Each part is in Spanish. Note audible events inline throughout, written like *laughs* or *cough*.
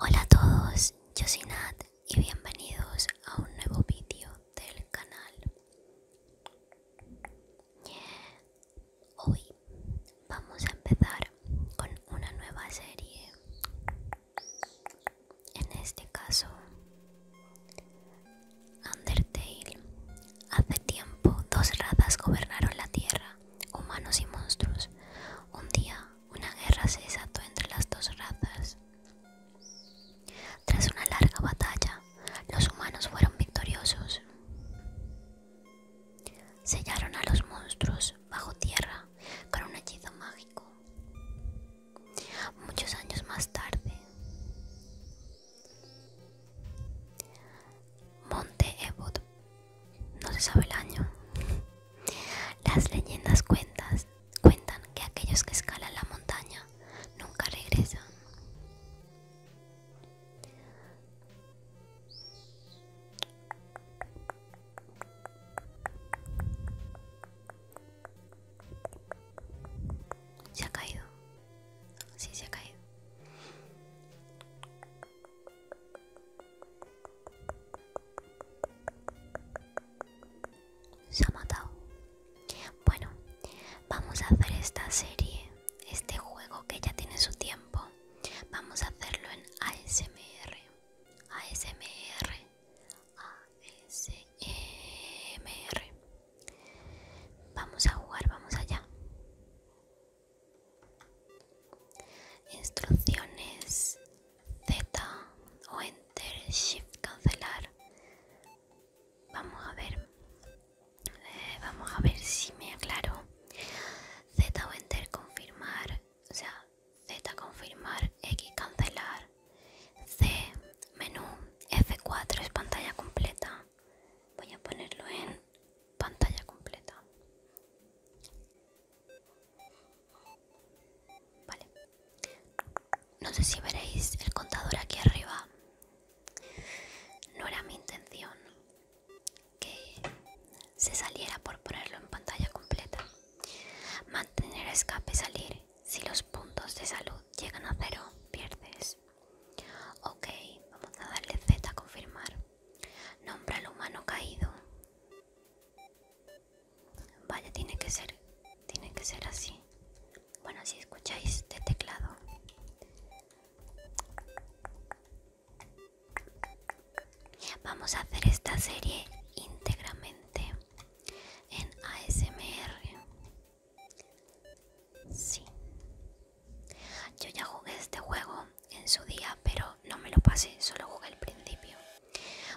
Hola a todos, yo soy Nat y bienvenidos a un nuevo vídeo del canal. Hoy vamos a empezar con una nueva serie en este caso, Undertale. Hace tiempo, dos razas gobernaron la Tierra, humanos y monstruos. Un día, una guerra se desató entre las dos razas. Tras una larga batalla, los humanos fueron victoriosos. Sellaron a los monstruos bajo tierra con un hechizo mágico. Muchos años más tarde, Monte Ebot, no se sabe el año. Las leyendas cuentan que aquellos que escalan la montaña nunca regresan. Se ha caído. Sí, se ha caído. Se ha matado. Bueno, vamos a hacer esta serie, este juego que ya tiene su tiempo. Vamos a hacerlo en ASMR. ASMR. A-S-E-M-E-R Vamos a jugar, vamos allá. Instrucciones Z o Enter Shift cancelar. Vamos a ver. Eh, vamos a ver si me aclaro. Z o Enter confirmar o sea, Z confirmar, X cancelar, C menú, F4 es pantalla completa. Voy a ponerlo en pantalla completa. Vale. No sé si veréis el contador aquí arriba. No era mi intención que se saliera por ponerlo en pantalla completa. Mantener escape salir. Si los puntos de salud llegan a cero, pierdes. Ok, vamos a darle Z a confirmar. Nombra al humano caído. Vaya, tiene que ser, tiene que ser así. Bueno, si escucháis de teclado. Vamos a hacer esta serie íntegramente en ASMR. Sí. Yo ya jugué este juego en su día, pero no me lo pasé, solo jugué el principio.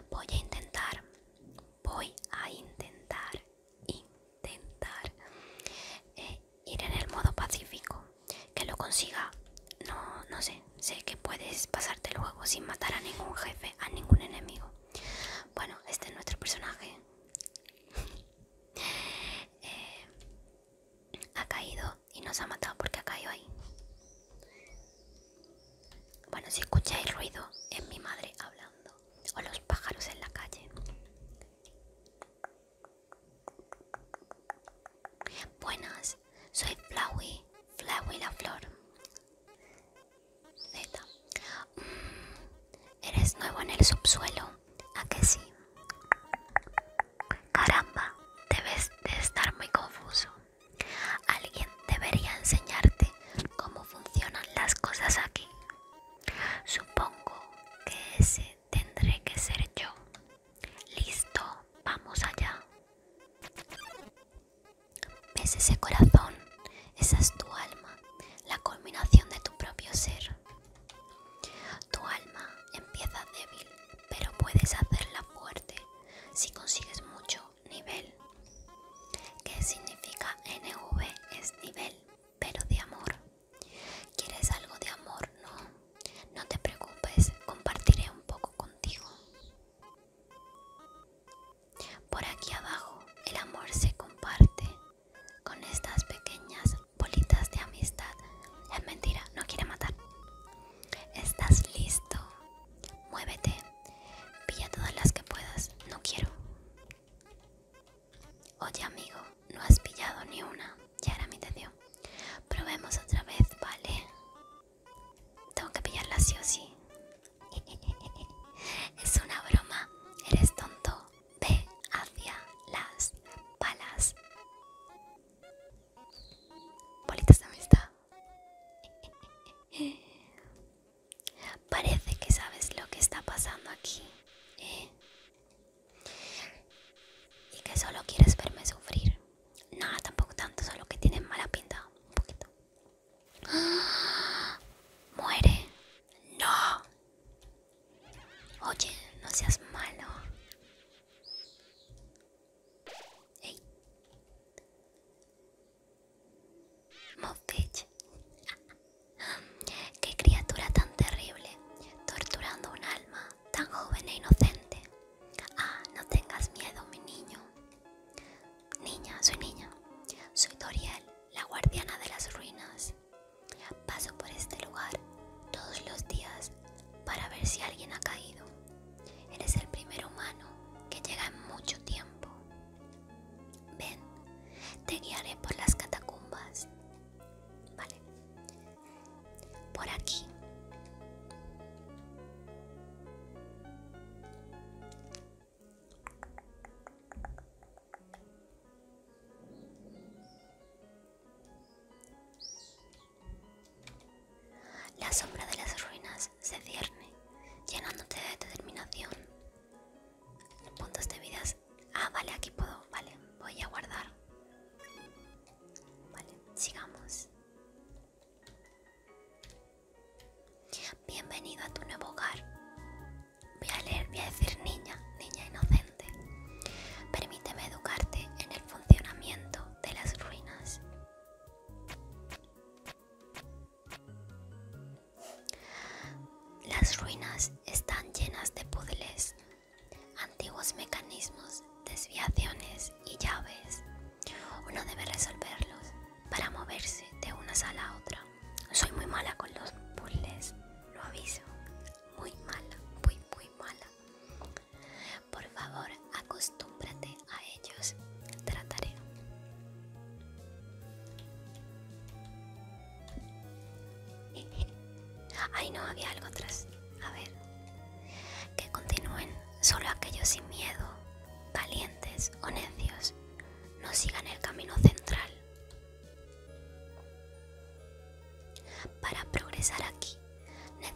Voy a intentar, voy a intentar, intentar eh, ir en el modo pacífico. Que lo consiga, no, no sé sé, que puedes pasarte el juego sin matar a ningún jefe, a ningún enemigo. Bueno, este es nuestro personaje. *laughs* Eh, ha caído y nos ha matado porque ha caído ahí. Bueno, si escucháis ruido, es mi madre hablando. O los pájaros en la calle. Buenas, soy Flowey, Flowey la flor. Mm, eres nuevo en el subsuelo. ¿A que sí? Caramba, debes de estar muy confuso. Alguien debería enseñarte cómo funcionan las cosas aquí. Supongo que ese tendré que ser yo. Listo, vamos allá. ¿Ves ese corazón? Esa es tu alma, la culminación de tu propio ser. Tu alma empieza débil, pero puedes hacerla fuerte si consigues mucho nivel. ¿Qué significa NV? Es nivel, pero de amor. ¿Quieres algo de amor? No. No te preocupes, compartiré un poco contigo. Por aquí abajo el amor se comparte con estas pequeñas bolitas de amistad. Es mentira, no quiere matar. ¿Estás listo? Muévete. Pilla todas las que puedas. No quiero. Oye amigo, no has pillado ni una. Ya era mi dio. Probemos otra vez, ¿vale? Tengo que pillarla sí o sí. *laughs* Es una broma. Eres tonto. Ve hacia las palas Bolitas de amistad. *laughs* Parece que sabes lo que está pasando aquí. ¿eh? Y que solo quieres verme sufrir. No, tampoco tanto, solo que tienes mala pinta. Un poquito. *gasps* Muere. No. Oye, no seas malo. Ey. Muffet. Qué criatura tan terrible, torturando un alma tan joven e inocente. Ah, no tengas miedo, mi niño. Niña, soy niña. Soy Doriel, la guardiana de las ruinas. Paso por este lugar todos los días para ver si alguien ha caído. Eres el primer humano que llega en mucho tiempo. Ven, te guiaré por las catacumbas. Vale. Por aquí. La sombra de las ruinas se cierne, llenándote de determinación. Puntos de vidas. Ah, vale, aquí puedo. Vale, voy a guardar. Vale, sigamos. Bienvenido a tu nuevo hogar. Voy a leer, voy a decir niña, niña inocente. Permíteme educarte en el funcionamiento de las ruinas. Las ruinas están llenas de puzzles, antiguos mecanismos, desviaciones y llaves. Uno debe resolverlos para moverse de una sala a otra. Soy muy mala con los puzzles, lo aviso. Muy mala, muy, muy mala. Por favor, acostúmbrate a ellos. Trataré. *laughs* Ay, no, había algo atrás. A ver. Que continúen solo aquellos sin miedo calientes o necios, no sigan el camino central. Para progresar aquí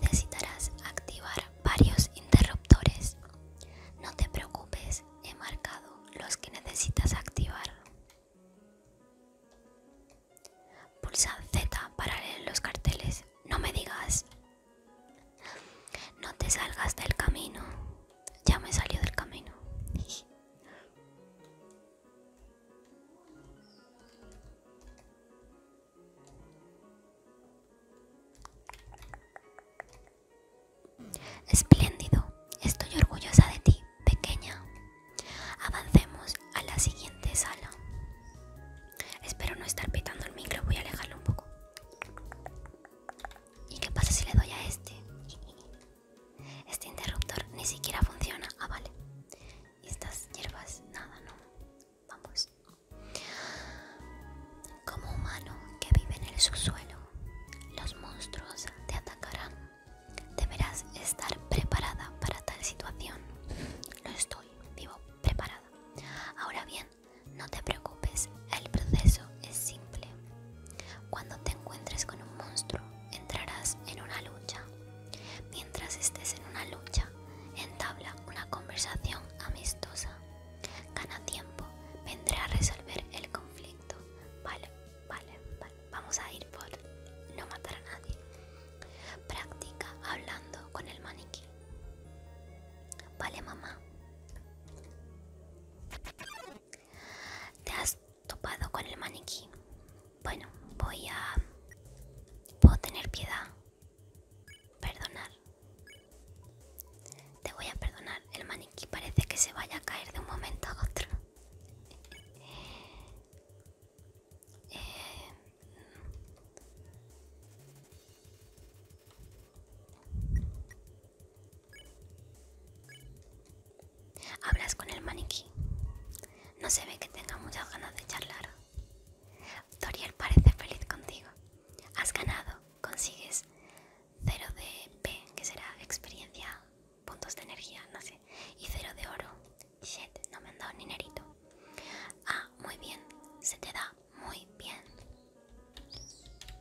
necesitarás activar varios interruptores. No te preocupes, he marcado los que necesitas activar. Pulsa Z para leer los carteles. No me digas, no te salgas del camino. Ya me salió del camino. Espléndido, estoy orgullosa de ti, pequeña. Avancemos a la siguiente sala. Espero no estar pitando el micro, voy a alejarlo un poco. ¿Y qué pasa si le doy a este? Este interruptor ni siquiera funciona. Ah, vale. Y estas hierbas, nada, no. Vamos. Como humano que vive en el subsuelo, los monstruos te atacarán. Deberás estar preparada para tal situación. Lo estoy, vivo preparada. Ahora bien, no te preocupes, el proceso es simple. Cuando te encuentres con un monstruo, entrarás en una lucha. Mientras estés en una lucha, entabla una conversación amistosa. Gana tiempo, vendrá a resolver el conflicto. Vale, vale, vale. Vamos a ir por no matar a nadie. Practica hablando con el maniquí. Vale, mamá. ¿Te has topado con el maniquí? Bueno, voy a... Puedo tener piedad. Perdonar. Te voy a perdonar. El maniquí parece que se vaya a caer de un momento a otro. *laughs* Eh, Hablas con el maniquí. No se ve que tenga muchas ganas de charlar. Toriel parece feliz contigo. Has ganado. Consigues 0 de P, que será experiencia, puntos de energía, no sé. Y 0 de oro. Shit, no me han dado ni nerito. Ah, muy bien. Se te da muy bien.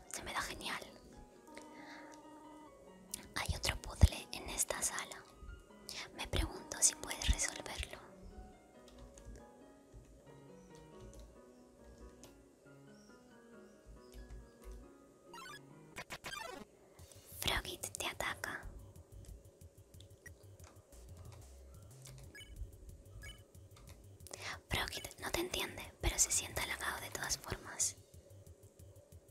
Se me da genial. Hay otro puzzle en esta sala. Me pregunto si puedes resolverlo. Frogit te ataca. Brokit no te entiende, pero se siente halagado de todas formas.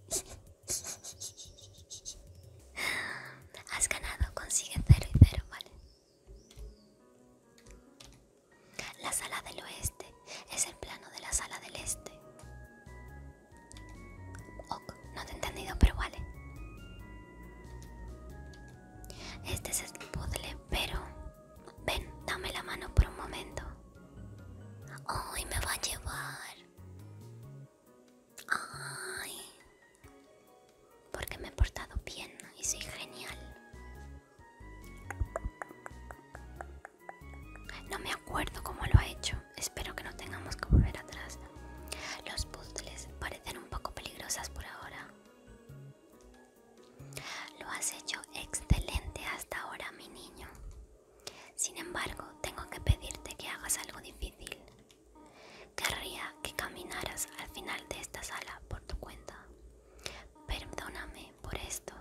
*laughs* Has ganado, consigue cero y cero, ¿vale? La sala del oeste es el plano de la sala del este. Ok, no te he entendido, pero vale. Este es el puzzle, pero Ven, dame la mano por un momento. hoy me va a llevar. Ay. Porque me he portado bien y soy genial. No me acuerdo cómo lo ha hecho. Espero que no tengamos que volver atrás. Los puzzles parecen un poco peligrosas por ahora. Lo has hecho excelente hasta ahora, mi niño. Sin embargo, tengo que pedirte que hagas algo difícil. Querría que caminaras al final de esta sala por tu cuenta. Perdóname por esto.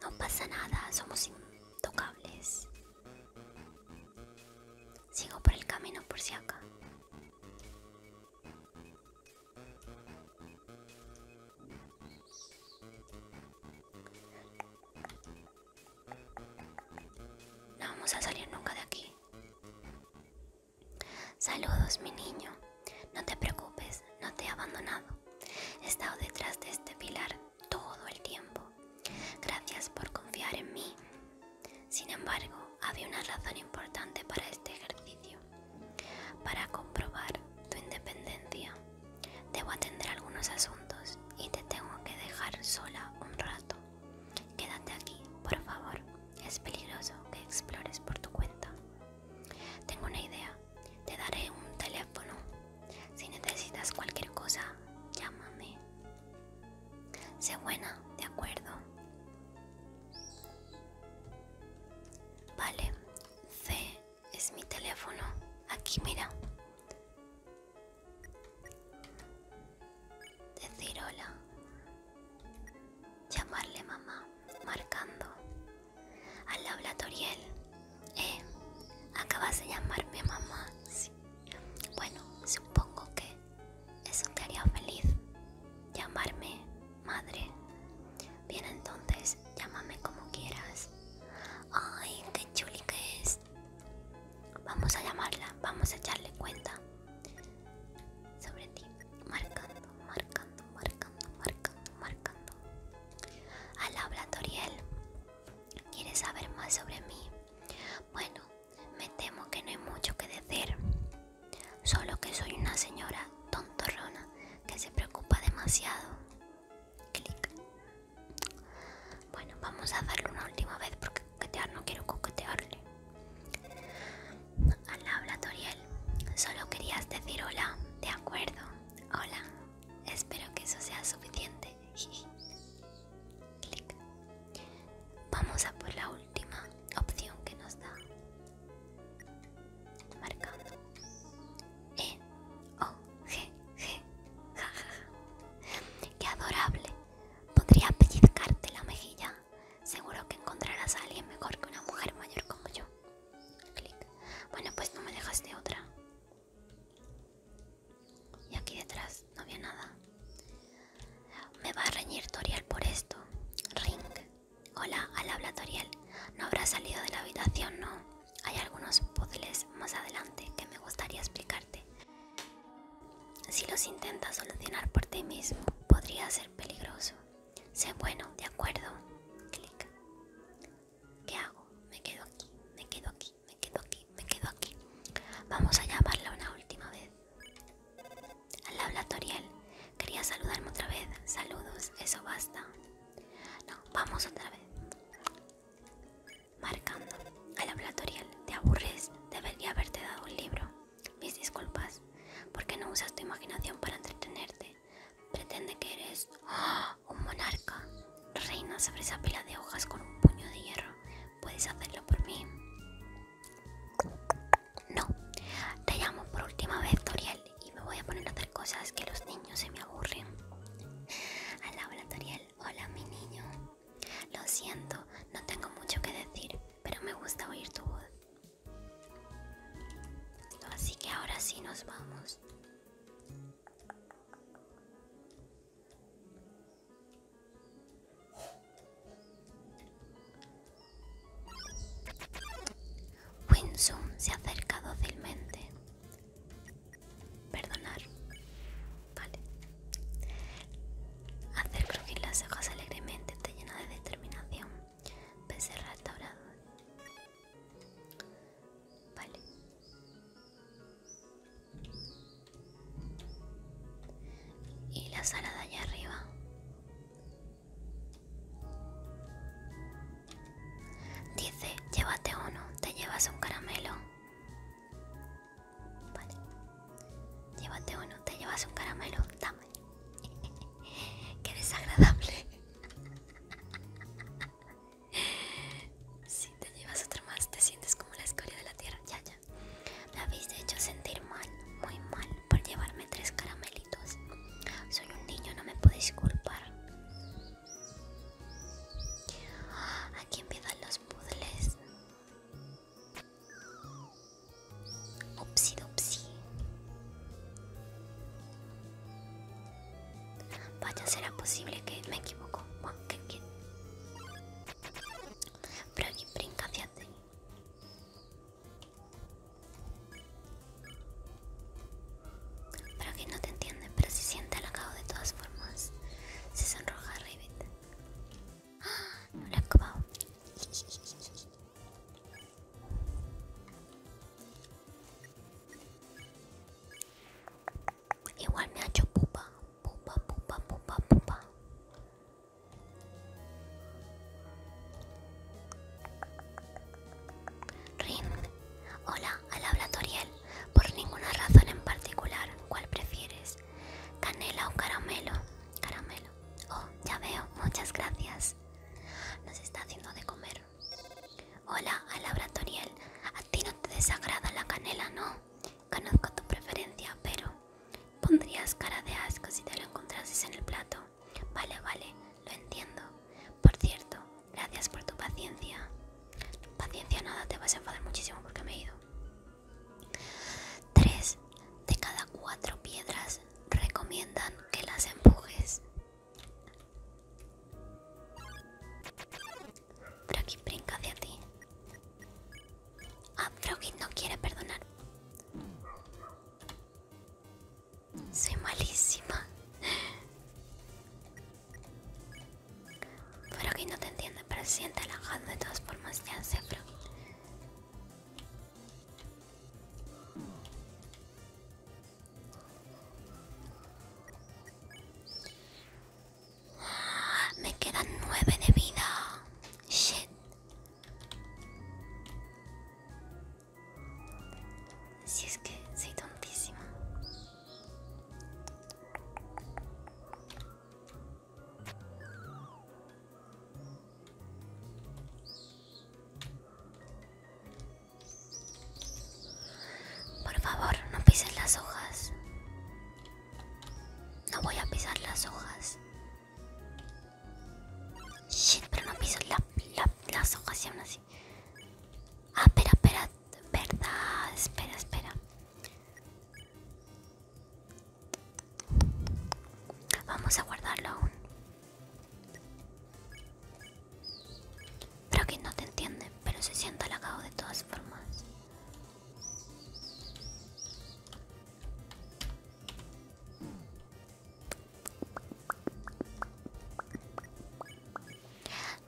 No pasa nada, somos intocables. Sigo por el camino por si acá. No vamos a salir nunca de aquí. Saludos, mi niño. No te preocupes, no te he abandonado. He estado detrás de este pilar todo el tiempo. Gracias por confiar en mí. Sin embargo, había una razón importante para este ejercicio. Para comprobar tu independencia, debo atender algunos asuntos y te tengo que dejar sola un rato. Quédate aquí, por favor. Es peligroso que explores por tu cuenta. Tengo una idea. Te daré un teléfono si necesitas cualquier cosa, llámame. Sé buena, de acuerdo. Vale, C es mi teléfono. Aquí mira. Decir hola. Llamarle mamá, marcando. Al habla Toriel. Eh, acabas de llamarme mamá. Bueno, supongo que eso te haría feliz, llamarme madre. Bien, entonces, llámame como quieras. Ay, qué chuli que es. Vamos a llamarla, vamos a echarle cuenta sobre ti. Marcando, marcando, marcando, marcando, marcando. Al habla Toriel. ¿Quieres saber más sobre mí? Bueno, me temo que no hay mucho que decir, solo que soy una señora tontorrona que se preocupa demasiado. Clic. Bueno, vamos a darle una última vez porque coquetear no quiero coquetearle. Al habla Toriel, solo querías decir hola, de acuerdo. Hola, espero que eso sea suficiente. *laughs* Clic. Vamos a por la última opción que nos da. Marcando. E, O, G, G. Ja, Qué adorable. Podría pellizcarte la mejilla. Seguro que encontrarás a alguien mejor que una mujer mayor como yo. Clic. Bueno, pues no me dejas de otra. Y aquí detrás no había nada. Me va a reñir Toriel por esto. Ring. Hola, al habla Toriel. No habrá salido de la habitación, ¿no? Hay algunos puzzles más adelante que me gustaría explicarte. Si los intentas solucionar por ti mismo, podría ser peligroso. Sé bueno, de acuerdo. Clic. ¿Qué hago? Me quedo aquí, me quedo aquí me quedo aquí, me quedo aquí. Vamos a llamarla una última vez. Al hablatoriel quería saludarme otra vez. Saludos, eso basta. No, vamos otra vez. Marcando, al habla te aburres, debería haberte dado un libro. Mis disculpas, qué no usas tu imaginación para entretenerte. Pretende que eres ¡ah! un monarca. Reina sobre esa pila de hojas con un puño de hierro. ¿Puedes hacerlo por mí? No. Te llamo por última vez, Toriel, y me voy a poner a hacer cosas que los niños se me aburren. Hola, *laughs* Toriel. Hola, mi niño. Lo siento, no tengo mucho que decir, pero me gusta oír tu voz. Así que ahora sí nos vamos. Winsum se acerca dócilmente. Perdonar. Vale. Hacer crujir las hojas alegremente te llena de determinación. Pese restaurado. Vale y la sala de allá arriba. Dice, llévate uno, te llevas un caramelo. Llévate uno, te llevas un caramelo, dame. *laughs* Qué desagradable. *laughs* Si te llevas otra más, te sientes como la escoria de la tierra. Ya, ya. Me habéis hecho sentir mal, muy mal, por llevarme tres caramelitos. Soy un niño, no me podéis culpar. Aquí dan los puzzles. Upsi, Vaya, será posible que me equivoco que brinca hacia ti. que no te entiende, pero se siente acabo de todas formas. Se sonroja ¡Ah! a Revit Igual me ha hecho pupa, pupa, pupa, pupa, pupa. Rin, hola, alabra Toriel. Por ninguna razón en particular, ¿cuál prefieres? ¿Canela o caramelo? Caramelo. Oh, ya veo, muchas gracias. Nos está haciendo de comer. Hola, alabra Toriel. A ti no te desagrada la canela, ¿no? Conozco tu preferencia, pero pondrías cara de asco si te lo encontrases en el plato. Vale, vale, lo entiendo. Por cierto, gracias por tu paciencia. Paciencia nada, te vas a enfadar muchísimo porque me he ido. Tres de cada cuatro piedras recomiendan que las empujes. Froggy brinca hacia ti. Ah, Froggy no quiere perdonar. Soy malísima. Froggy no te entiende, pero siente alojado de todas formas. Ya sé, Froggy. Me quedan nueve de vida. Shit. Si es que soy tontísima. Por favor, no pises las hojas. No voy a pisar las hojas. Shit, pero no piso las hojas y aún así. Ah, espera, espera, verdad, espera, espera. Vamos a guardarlo aún. Pero que no te entiende, pero se sienta halagado de todas formas.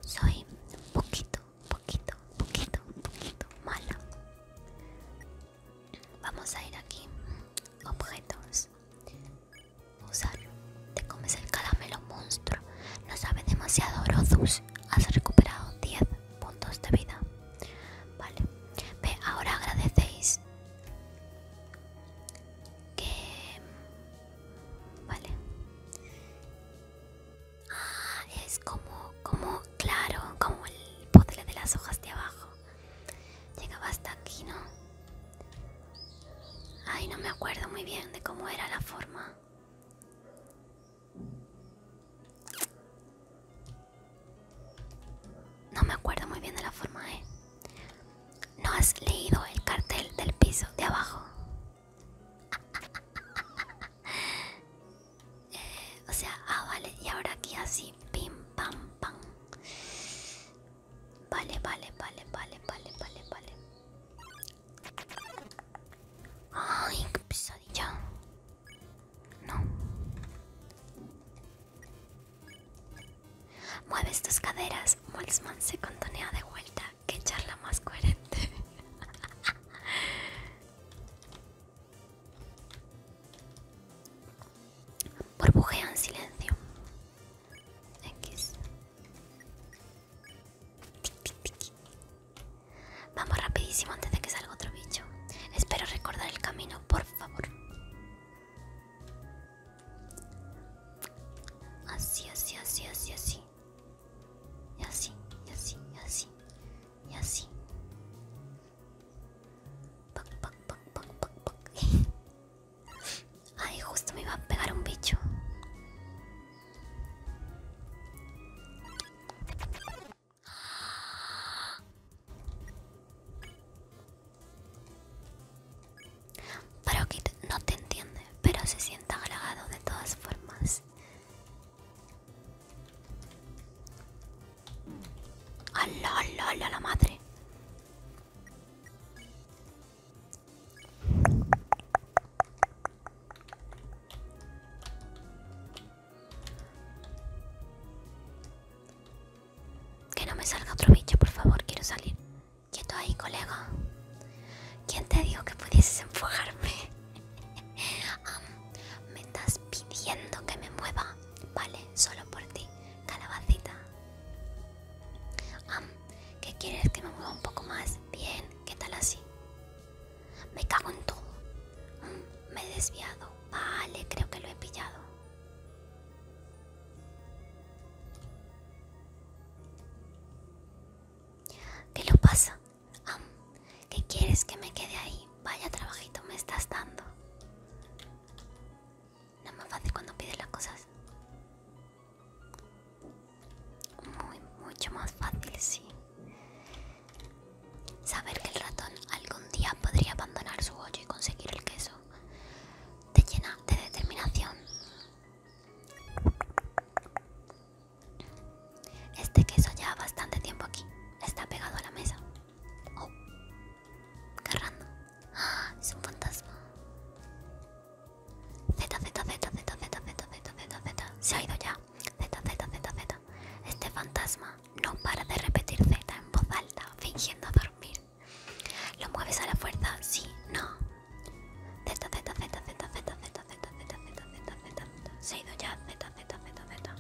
Soy un poquito, poquito, poquito, poquito mala. Vamos a ir aquí. Objetos. Usar. Te comes el caramelo monstruo. No sabe demasiado Rodus. Has recuperado 10 puntos de vida. Vale. ahora agradecéis que... Vale. Ah, es como, como, claro, como el poder de las hojas de abajo. Llegaba hasta aquí, ¿no? Ay, no me acuerdo muy bien de cómo era la forma. No me acuerdo muy bien de la forma, ¿eh? ¿No has leído el cartel del piso de abajo? *laughs* Eh, o sea, ah, vale, y ahora aquí así, pim, pam, pam. Vale, vale, vale, vale, vale, vale, vale. Ay, qué pesadilla. No. Mueves tus caderas. Molsman se contonea de vuelta. Qué charla más coherente. *laughs* Burbujea en silencio. X. Vamos rapidísimo antes de que salga otro bicho. Espero recordar el camino, por favor. Así, así, así, así, así. Y así, y así, y así. Y así. *laughs* Ay, justo me iba a pegar un bicho. Parokit no te entiende, pero se sienta halagado de todas formas. la madre! Que no me salga otro bicho, por favor, quiero salir. Quieto ahí, colega. ¿Quién te dijo que pudieses empujarme? *laughs* me estás pidiendo que me mueva. Vale, solo por ti, calabacita. ¿Qué quieres que me mueva un poco más? Bien, ¿qué tal así? Me cago en todo. Me he desviado. Vale, creo que lo he pillado. ¿Qué lo pasa? ¿Qué quieres que me quede ahí? Vaya trabajito me estás dando. No es más fácil cuando pides las cosas. Muy, mucho más fácil, sí. Saber que el ratón algún día podría abandonar su hoyo y conseguir el queso te llena de determinación. Este queso ha bastante tiempo aquí, está pegado a la mesa. Oh, qué Ah, es un fantasma. Z, Z, Z, Z, Z, Z, Z, Z, Z, se ha ido ya. Z, Z, Z, Este fantasma no para de repetir Z en voz alta, fingiendo dormir. ¿Lo mueves a la fuerza? Sí, no. Z, Z, Z, Z, Z, Z, Z, Z, Z, Z, Z, Se ido ya. Z, Z, Z, Z.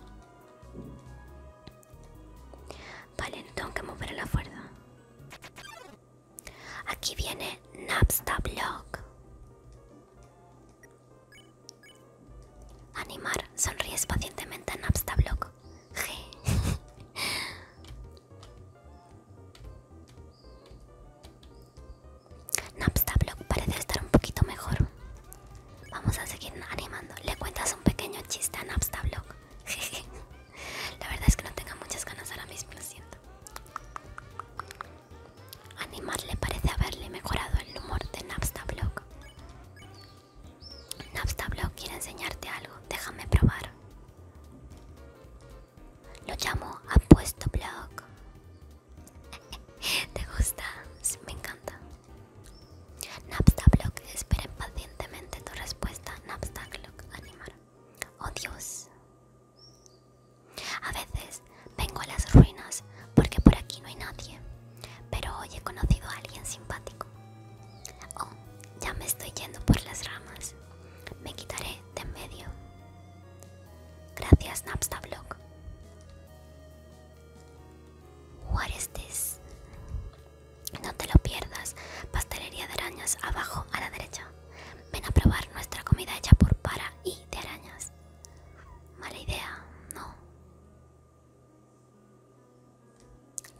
Vale, que mover la fuerza. Aquí viene Animar, sonríes pacientemente a Napstablog G. *laughs* parece estar un poquito mejor. Vamos a seguir animando. Le cuentas un pequeño chiste a Napstablock. *laughs* La verdad es que no tengo muchas ganas ahora mismo, lo siento. Animar le parece haberle mejorado el humor de Napstablock. Napstablock quiere enseñarte algo, déjame probar. Lo llamo Apuesto Block. *laughs* ¿Te gusta? me encanta. Napstablock espera pacientemente tu respuesta. Napstablog, animar. Oh Dios. A veces vengo a las ruinas porque por aquí no hay nadie, pero hoy he conocido a alguien simpático. Oh, ya me estoy yendo por las ramas. Me quitaré de en medio. Gracias, Napstablog. What is this? No te lo pierdas. Pastelería de arañas abajo a la derecha. Ven a probar nuestra comida hecha por para y de arañas. Mala idea, no.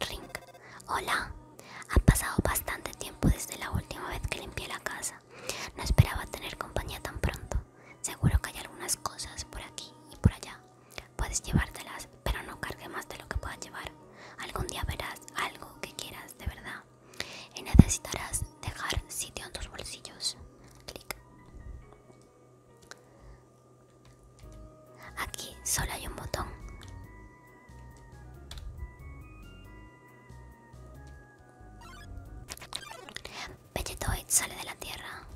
Ring. Hola. Ha pasado bastante tiempo desde la última vez que limpié la casa. No esperaba tener compañía tan pronto. Seguro que hay algunas cosas por aquí y por allá. Puedes llevártelas, pero no cargue más de lo que puedas llevar. Algún día verás algo que quieras de verdad. Y necesitarás dejar sitio en tus bolsillos clic. Aquí solo hay un botón. Vegetoid sale de la tierra.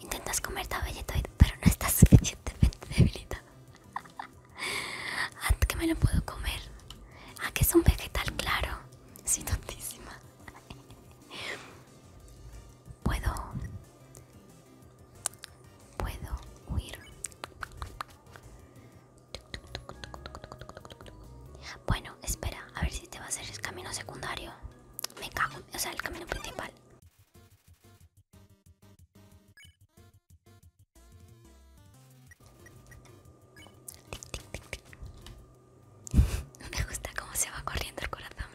Intentas comer a Vegetoid, pero no estás *laughs* suficientemente debilitado. *laughs* Antes que me lo puedo comer. Ah, que es un vegetal claro. Soy tontísima. *laughs* Puedo. Puedo huir. Bueno, espera, a ver si te va a hacer el camino secundario. Me cago, o sea, el camino principal. No Me gusta cómo se va corriendo el corazón.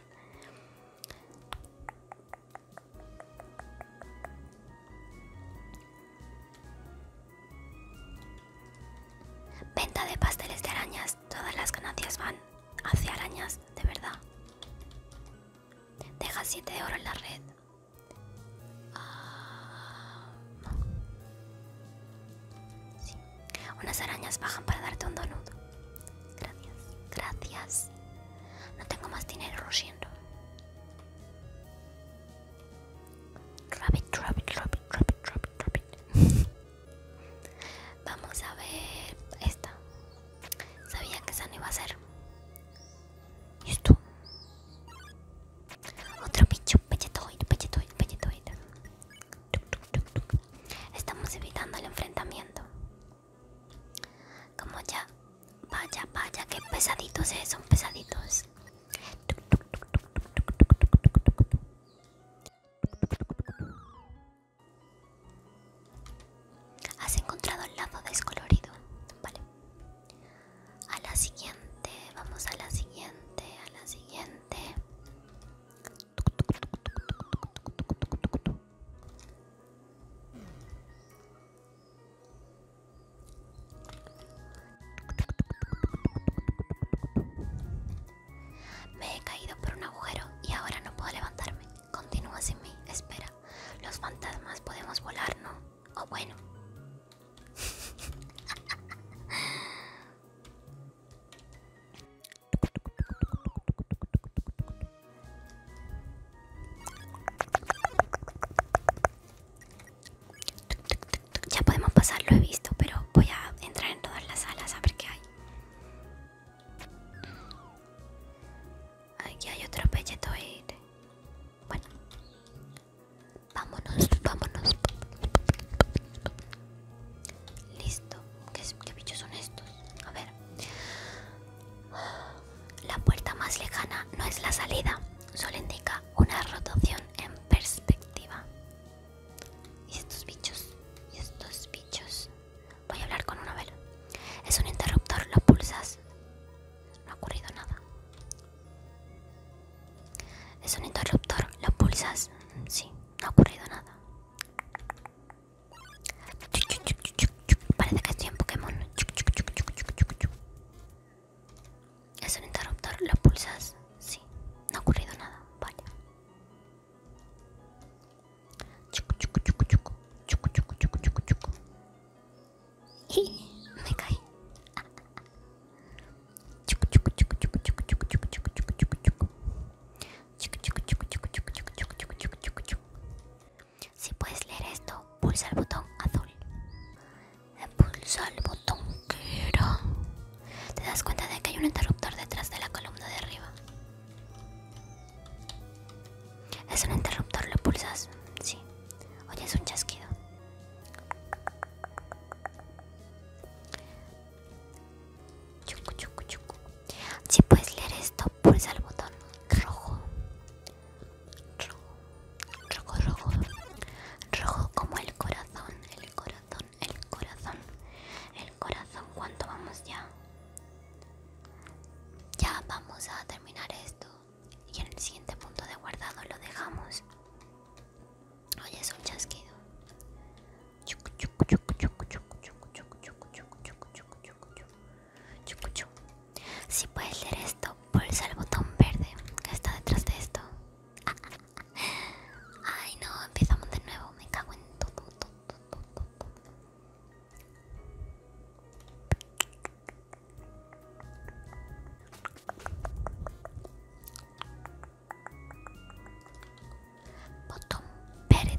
Venta de pasteles de arañas. Todas las ganancias van hacia arañas, de verdad. Deja 7 de oro en la red. Ah, Unas arañas bajan para darte un donut. Gracias, gracias. No tengo más dinero, drop rabbit, rabbit, rabbit, rabbit, rabbit. Vamos a ver esta. Sabía que esa no iba a ser. ¿Y Esto. Otro bicho, Pechetoid, pechetoid, pechetoide. Estamos evitando el enfrentamiento. Como ya. Vaya, vaya, qué pesaditos es, son pesaditos. Has encontrado el lazo descolorido, vale. A la siguiente, vamos a la siguiente, a la siguiente. Me he caído por un agujero y ahora no puedo levantarme. Continúa sin mí, espera. Los fantasmas podemos volar, ¿no? O oh, bueno. Ya podemos pasar, lo he visto, pero voy a entrar en todas las salas a ver qué hay. Aquí hay otro pelletoide. Bueno, vámonos, vámonos. Listo. ¿Qué, bichos son estos? A ver. La puerta más lejana no es la salida, solo indica una rotación en perspectiva. Y estos bichos, y estos bichos. Voy a hablar con uno, a Es un interruptor, lo pulsas no ha ocurrido nada. Es un interruptor. ¿Lo pulsas? Sí, no ha ocurrido nada. Parece que estoy en Pokémon. Es un interruptor. ¿Lo pulsas? Sí, no ha ocurrido nada. Vale y me caí. Si puedes leer esto, pulsa el botón azul. Pulsa el botón quiero. Te das cuenta de que hay un interruptor detrás de la columna de arriba. Es un interruptor, lo pulsas, sí. Oye, es un chasquido. Chuco, chuco, chuco. Si puedes leer esto, pulsa el botón rojo. Rojo, rojo, rojo. Rojo como el corazón, el corazón, el corazón. El corazón, ¿cuánto vamos ya? Ya vamos a terminar esto y en el siguiente punto de guardado lo dejamos. Oye, es un chasquido. Si puedes leer esto, pulsa el botón verde que está detrás de esto. Ay no, empezamos de nuevo, me cago en todo. Botón verde,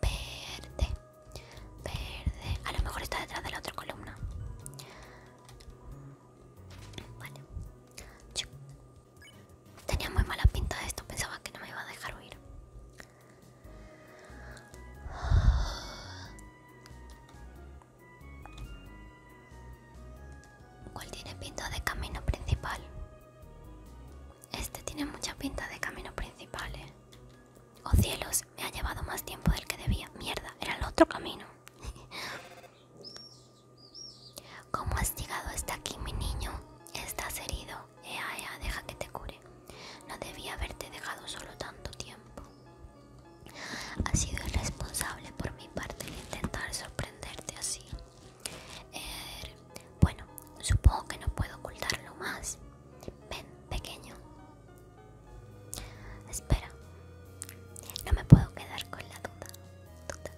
verde, verde. A lo mejor está detrás de la otra columna. tenía muy mala pinta de esto, pensaba que no me iba a dejar huir. ¿Cuál tiene pinta de camino principal? Este tiene mucha pinta de camino principal, ¿eh? Oh cielos, me ha llevado más tiempo del que debía. Mierda, era el otro camino. *laughs* ¿Cómo has llegado hasta aquí, mi niño? Estás herido. Ea, ea, deja que te cure. No debía haberte dejado solo tanto tiempo. Ha sido irresponsable por mi parte el intentar sorprenderte así. Er, bueno, supongo que no puedo ocultarlo más. Ven, pequeño. Espera, no me puedo quedar con la duda, duda.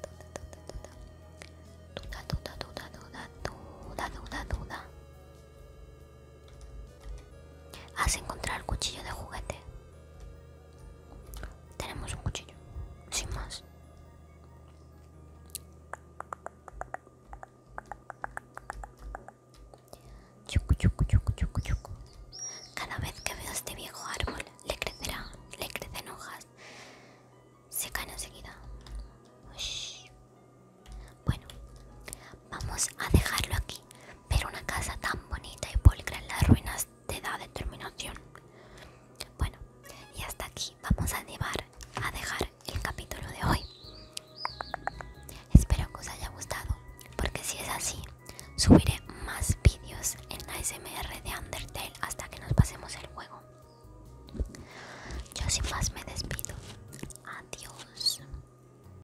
Duda, duda, duda, duda, duda, duda, duda. Has encontrado el cuchillo de juguete. Tenemos un cuchillo, sin más. Cada vez que veo este viejo árbol, le crecerá, le crecen hojas. Se caen enseguida. Bueno, vamos a dejarlo aquí pero una casa tan bonita y polcra en las ruinas te da determinación. Bueno, y hasta aquí vamos a llevar a dejar el capítulo de hoy. Espero que os haya gustado, porque si es así, subiré más vídeos en la SMR de Undertale hasta que nos pasemos el juego. Yo sin más me despido. Adiós.